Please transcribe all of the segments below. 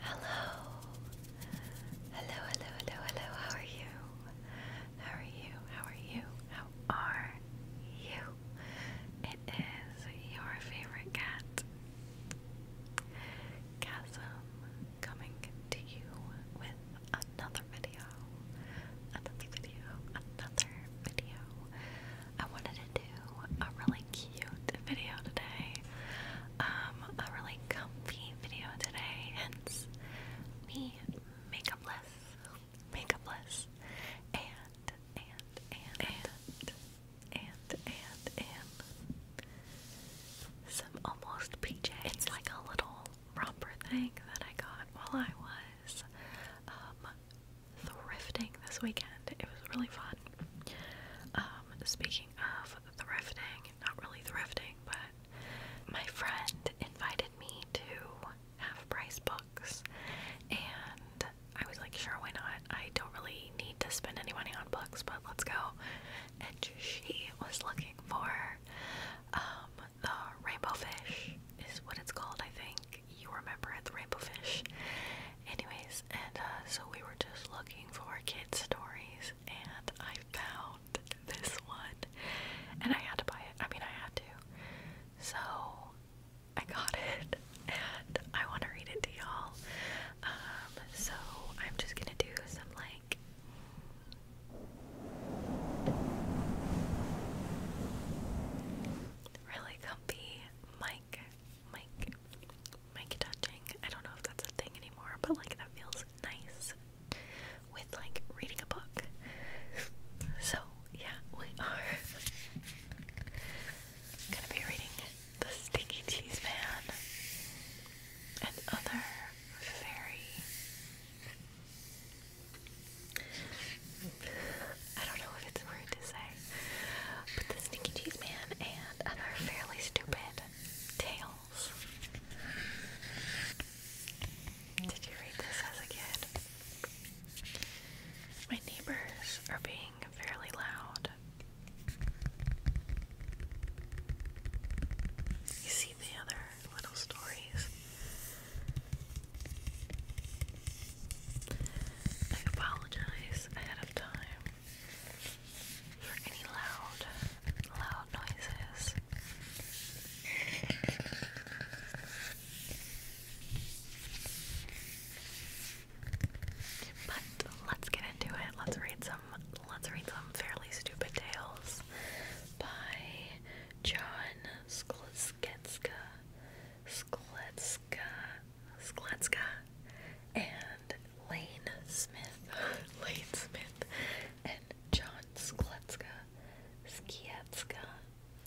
Hello. Hello, hello, hello, hello. How are you? How are you? How are you? How are you? It is your favorite cat, Chasm, coming to you with another video. Another video. Another video. I wanted to a really cute video today. Um, a really comfy video today, hence me makeupless, makeupless, and, and, and, and, and, and, some almost PJs. It's like a little romper thing that I got while I was, um, thrifting this weekend. It was really fun. Um, um, speaking of the thrifting, not really thrifting, but my friend invited me to half price books, and I was like, sure, why not? I don't really need to spend any money on books, but let's go. And she was looking for um, the rainbow fish, is what it's called, I think. You remember it, the rainbow fish. Anyways, and uh, so we were just looking for kid stories, and I found this one, and I had to buy it. I mean, I had to. So I got it, and I want to read it to y'all. Um, so I'm just gonna do some like. Really comfy mic mic, mic, touching. I don't know if that's a thing anymore, but like that feels nice with like reading a book. So, yeah, we are gonna be reading The Stinky Cheese Man and other very. I don't know if it's rude to say, but the Sneaky Cheese Man and other fairly stupid tales. Did you read this as a kid? My neighbors are being fairly loud. You see the other little stories. I apologize ahead of time for any loud, loud noises. But let's get into it. Let's read some let's read some fairly stupid tales by John Skletska. Skletska Sklatska, and Lane Smith, Lane Smith, and John Skletska, Skiatska.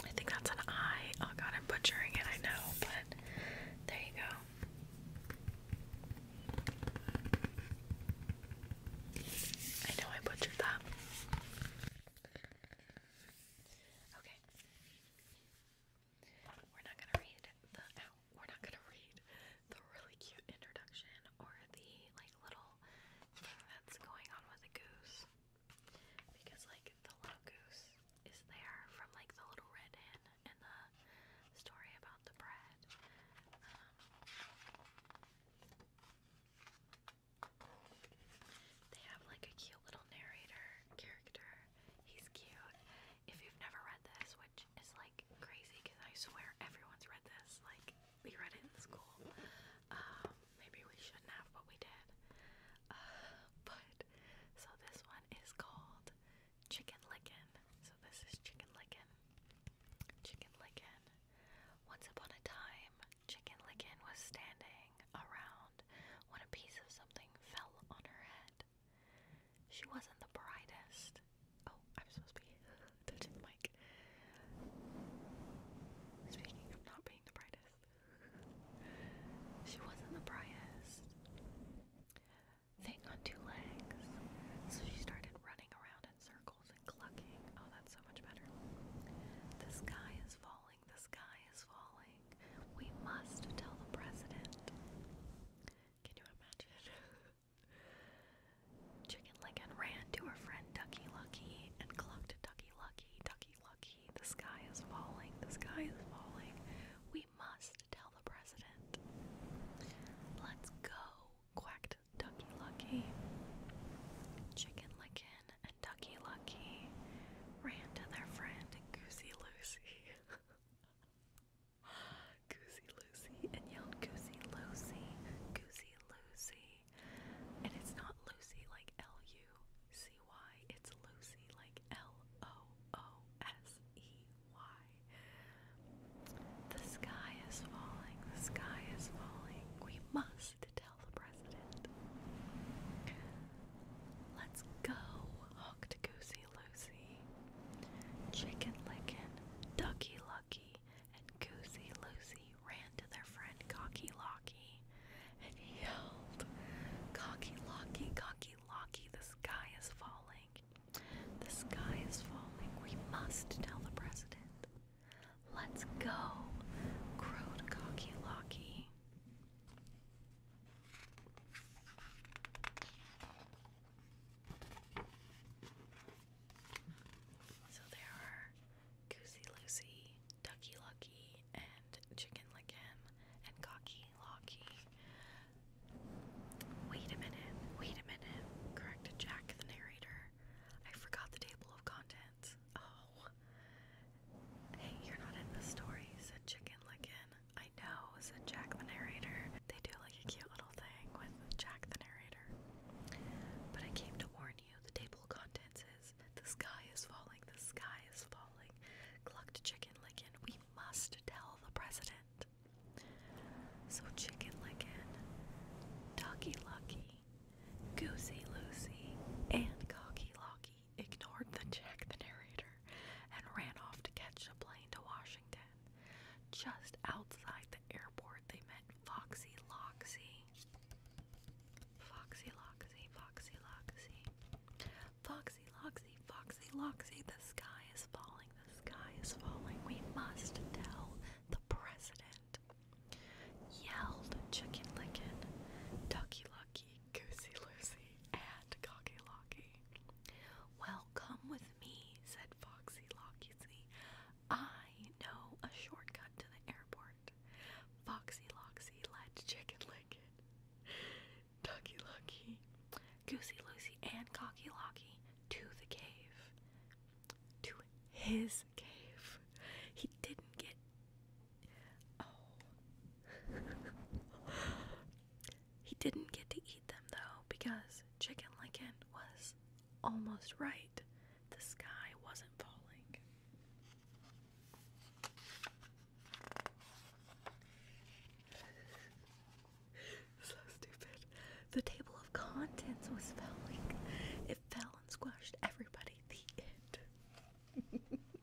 I think that's an I. Oh god, I'm butchering it, I know, but there you go. I know I butchered that. Okay. We're not gonna read the we're not gonna read the really cute introduction or the like little thing that's going on with the goose. Because like the little goose is there from like the little red hen and the story about the bread. Um, they have like a cute little narrator character. He's cute. If you've never read this, which which like crazy because I swear everyone's read this. Like we read it in school. Um, maybe we shouldn't have, but we did. but so this one is called Chicken Licken. So this is Chicken Licken. Chicken Licken. Once upon a time, Chicken Licken was standing around when a piece of something fell on her head. She wasn't the brightest. Oh, I'm supposed to be touching the mic. Speaking of not being the brightest, she wasn't the brightest thing on two legs. So she started running around in circles and clucking. Oh, that's so much better. The sky is falling, the sky is falling. We must tell the president. Can you imagine? Chicken Licken ran to her friend Ducky Lucky and clucked Ducky Lucky, Ducky Lucky, the sky is falling, the sky is falling. We must tell the president. Let's go, quacked Ducky Lucky. Chicken Licken and Ducky Lucky ran to their friend Goosey Loosey. Goosey Lucy and yelled Goosey Lucy, Goosey Lucy. And it's not Lucy like L U C Y, it's Lucy like L O O S E Y. The sky is falling, the sky is falling. We must tell the president. Let's go, honked Goosey Lucy, Chicken Lickin', Ducky Lucky, and Goosey Lucy ran to their friend Cocky Locky and yelled, Cocky Locky, Cocky Locky, the sky is falling. The sky is falling. We must tell the president. Let's go, crowed Cocky Locky. So there are Goosey Lucy, Ducky Lucky, and Chicken Licken, and Cocky Locky. Wait a minute, wait a minute, corrected Jack the narrator. I forgot the table of contents. Oh. Hey, you're not in the story, said Chicken Licken. I know, said Jack the narrator. They do like a cute little thing with Jack the narrator. But I came to warn you, the table of contents is the sky is falling, the sky is falling. Clucked Chicken Licken, we must tell the president. So Chicken Licken, Ducky Lucky, Goosey Lucy, and Cocky Locky ignored the Jack the narrator and ran off to catch a plane to Washington. Just outside the airport, they met Foxy Loxy. Foxy Loxy, Foxy Loxy. Foxy Loxy, Foxy Loxy, the sky is falling, the sky is falling. We must tell the president. Yelled Chicken Licken, Ducky Lucky, Goosey Lucy, and Cocky Locky. Well, come with me, said Foxy Loxy. I know a shortcut to the airport. Foxy Loxy led Chicken Licken, Ducky Lucky, Goosey Lucy, and Cocky Locky to the cave. To his cave. He didn't get. Oh. He didn't get to eat them though because Chicken Licken was almost right. The sky wasn't falling. so stupid. The table of contents was falling. It fell and squashed everybody. The end.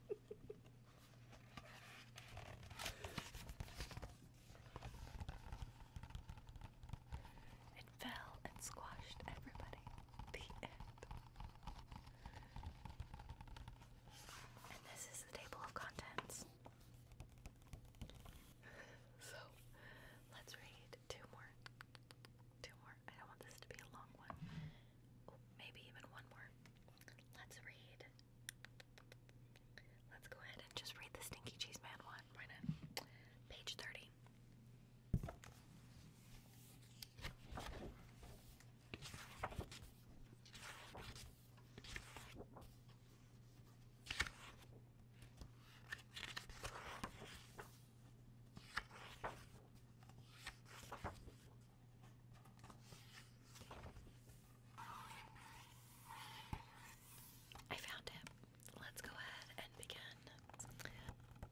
It fell and squashed everybody. The end. And this is the table of contents. so let's read two more. Two more. I don't want this to be a long one. maybe even one more. Let's read Let's go ahead and just read the Stinky Cheese Man one. Why not? Page 30. I found it. Let's go ahead and begin.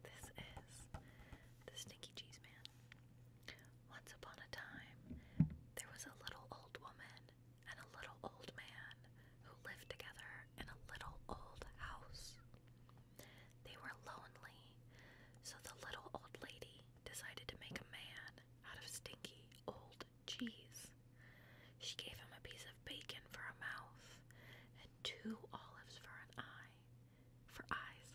This is the Stinky Cheese Man. Once upon a time, there was a little old woman and a little old man who lived together in a little old house. They were lonely, so the little old lady decided to make a man out of stinky old cheese. She gave him a piece of bacon for a mouth, and two olives for an eye, for eyes,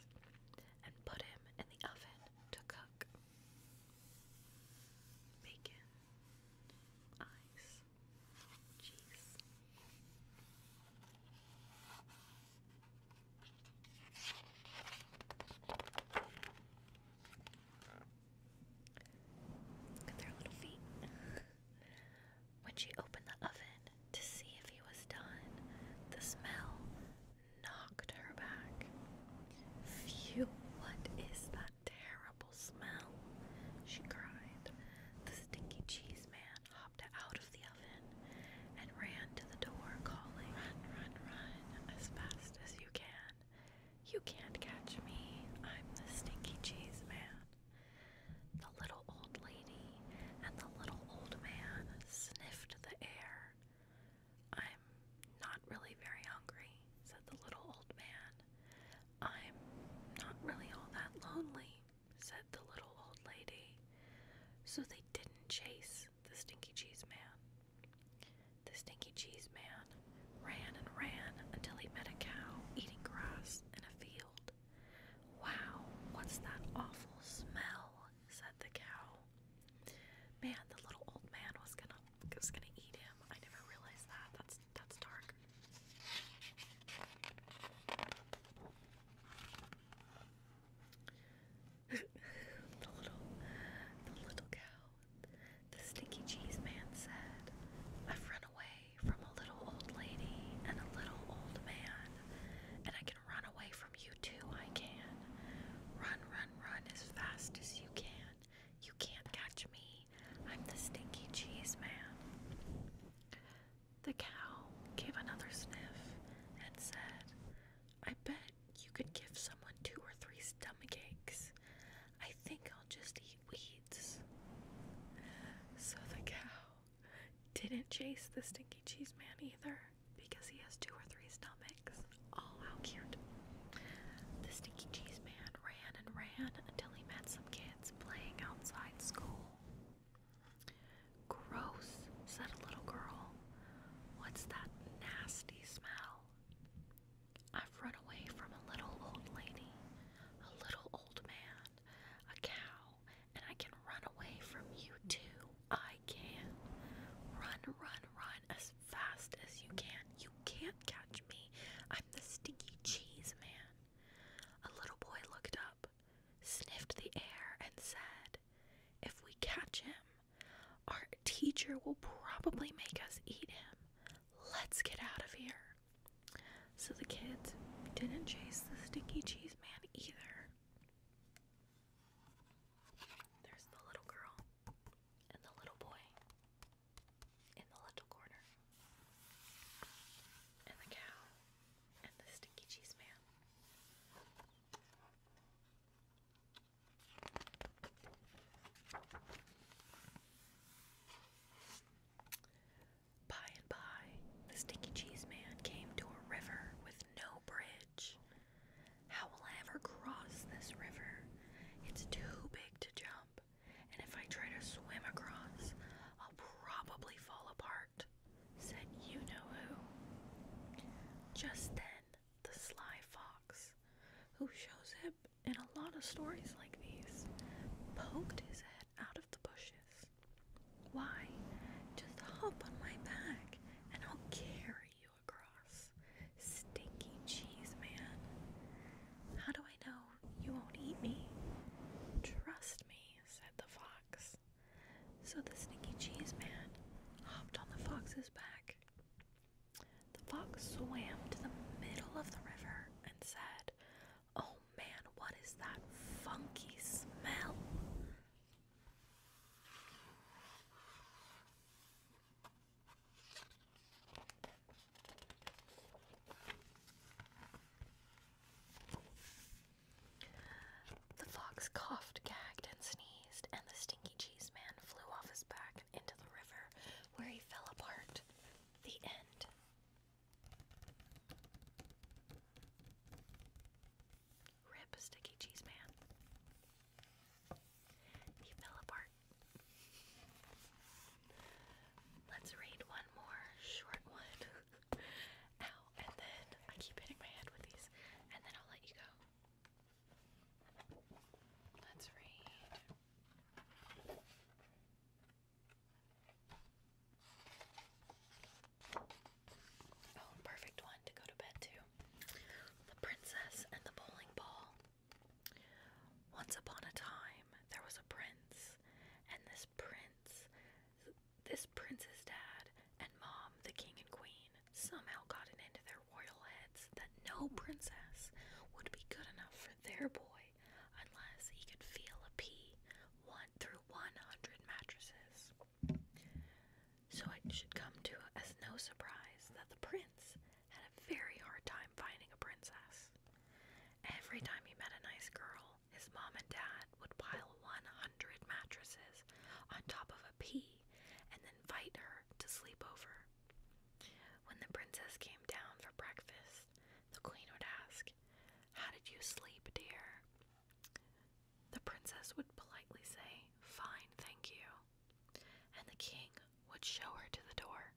and put him in the oven to cook. Bacon, eyes, cheese when she opened the oven to see if he was done, the smell knocked her back. Phew, what is that terrible smell? She cried. The stinky cheese man hopped out of the oven and ran to the door, calling, Run, run, run, as fast as you can. You can't catch me. I'm the stinky cheese man. The little old lady and the little old man sniffed the air. I'm not really very hungry, said the little old man. I'm not really all that lonely, said the little old lady. So they didn't chase the stinky cheese man. The stinky cheese man ran and ran until he met a cow eating grass in a field. Wow, what's that awful smell? said the cow. Man, the little old man was gonna was gonna eat him. I never realized that. That's that's dark. the little the little cow the stinky cheese man said, I've run away from a little old lady and a little old man, and I can run away from you too, I can. Run, run, run as fast as you can. You can't catch me. I'm the stinky cheese man. The cow gave another sniff and said, I bet you could give someone two or three stomach aches. I think I'll just eat weeds. So the cow didn't chase the stinky cheese man either because he has two or three stomachs. Oh, how cute. The stinky cheese man ran and ran until he met some kids playing outside school. Gross, said a little girl. What's that nasty smell? I've run away from a little old lady, a little old man, a cow, and I can run away from you too. I can. Run, run, run as fast as you can. You can't catch me. I'm the stinky cheese man. A little boy looked up, sniffed the air, and said, If we catch him, our teacher will probably make us eat him let's get out of here. So the kids didn't chase the stinky cheese man either. There's the little girl and the little boy in the little corner, and the cow and the stinky cheese man. By and by, the Stinky Cheese Man came to a river with no bridge. How will I ever cross this river? It's too big to jump, and if I try to swim across, I'll probably fall apart, said you know who. Just then, the sly fox who shows up in a lot of stories like these, poked his head out of the bushes. Why? Just hop on my back and I'll carry you across. Stinky cheese man. How do I know you won't eat me? Trust me, said the fox. So the stinky cheese man hopped on the fox's back. The fox swam to the middle of the river and said, Oh man, what is that funky smell? The fox coughed, gagged, and sneezed, and the stinky cheese man flew off his back into the river where he fell apart. The end. Rip, Sticky Cheese Man. He fell apart. Let's read one more short one. Ow, and then I keep hitting my head with these, and then I'll let you go. Let's read. Oh, perfect one to go to bed to. The Princess and the Bowling Ball. Once upon a time, there was a prince, and this prince, this prince's dad and mom, the king and queen, somehow got it into their royal heads that no princess would be good enough for their boy unless he could feel a pee one through 100 mattresses. So it should come to as no surprise that the prince had a very hard time finding a princess. Every time he met a nice girl, his mom and dad would pile 100 mattresses on top of a pea and then invite her to sleep over. When the princess came down for breakfast, the queen would ask, How did you sleep, dear? The princess would politely say, Fine, thank you. And the king would show her to the door.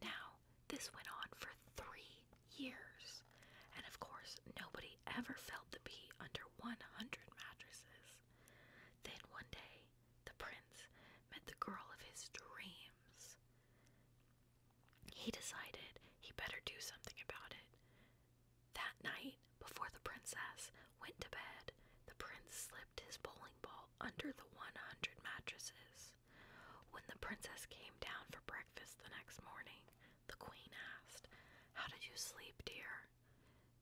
Now, this went on for three years, and of course, nobody ever felt the pea under 100 mattresses. Then one day, the prince met the girl of his dreams he decided he better do something about it. That night, before the princess went to bed, the prince slipped his bowling ball under the 100 mattresses. When the princess came down for breakfast the next morning, the queen asked, How did you sleep, dear?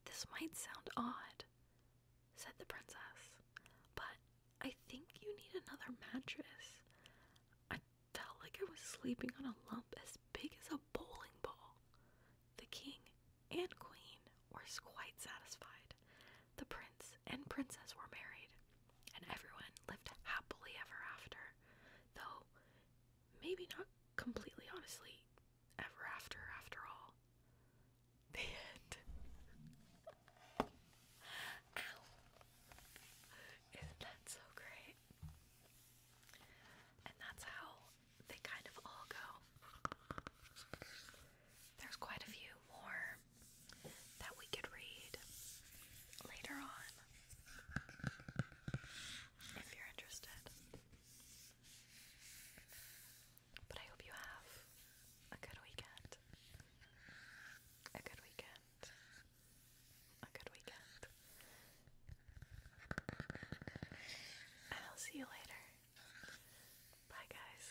This might sound odd, said the princess, but I think you need another mattress. I felt like I was sleeping on a lump as big as a bowling ball. The king and queen were quite satisfied. The prince and princess were married, and everyone lived happily ever after, though maybe not completely honestly ever after after all. The end. Isn't that so great? And that's how they kind of all go. There's quite a few more that we could read later on if you're interested. But I hope you have a good weekend. A good weekend. A good weekend. And I'll see you later. Bye, guys.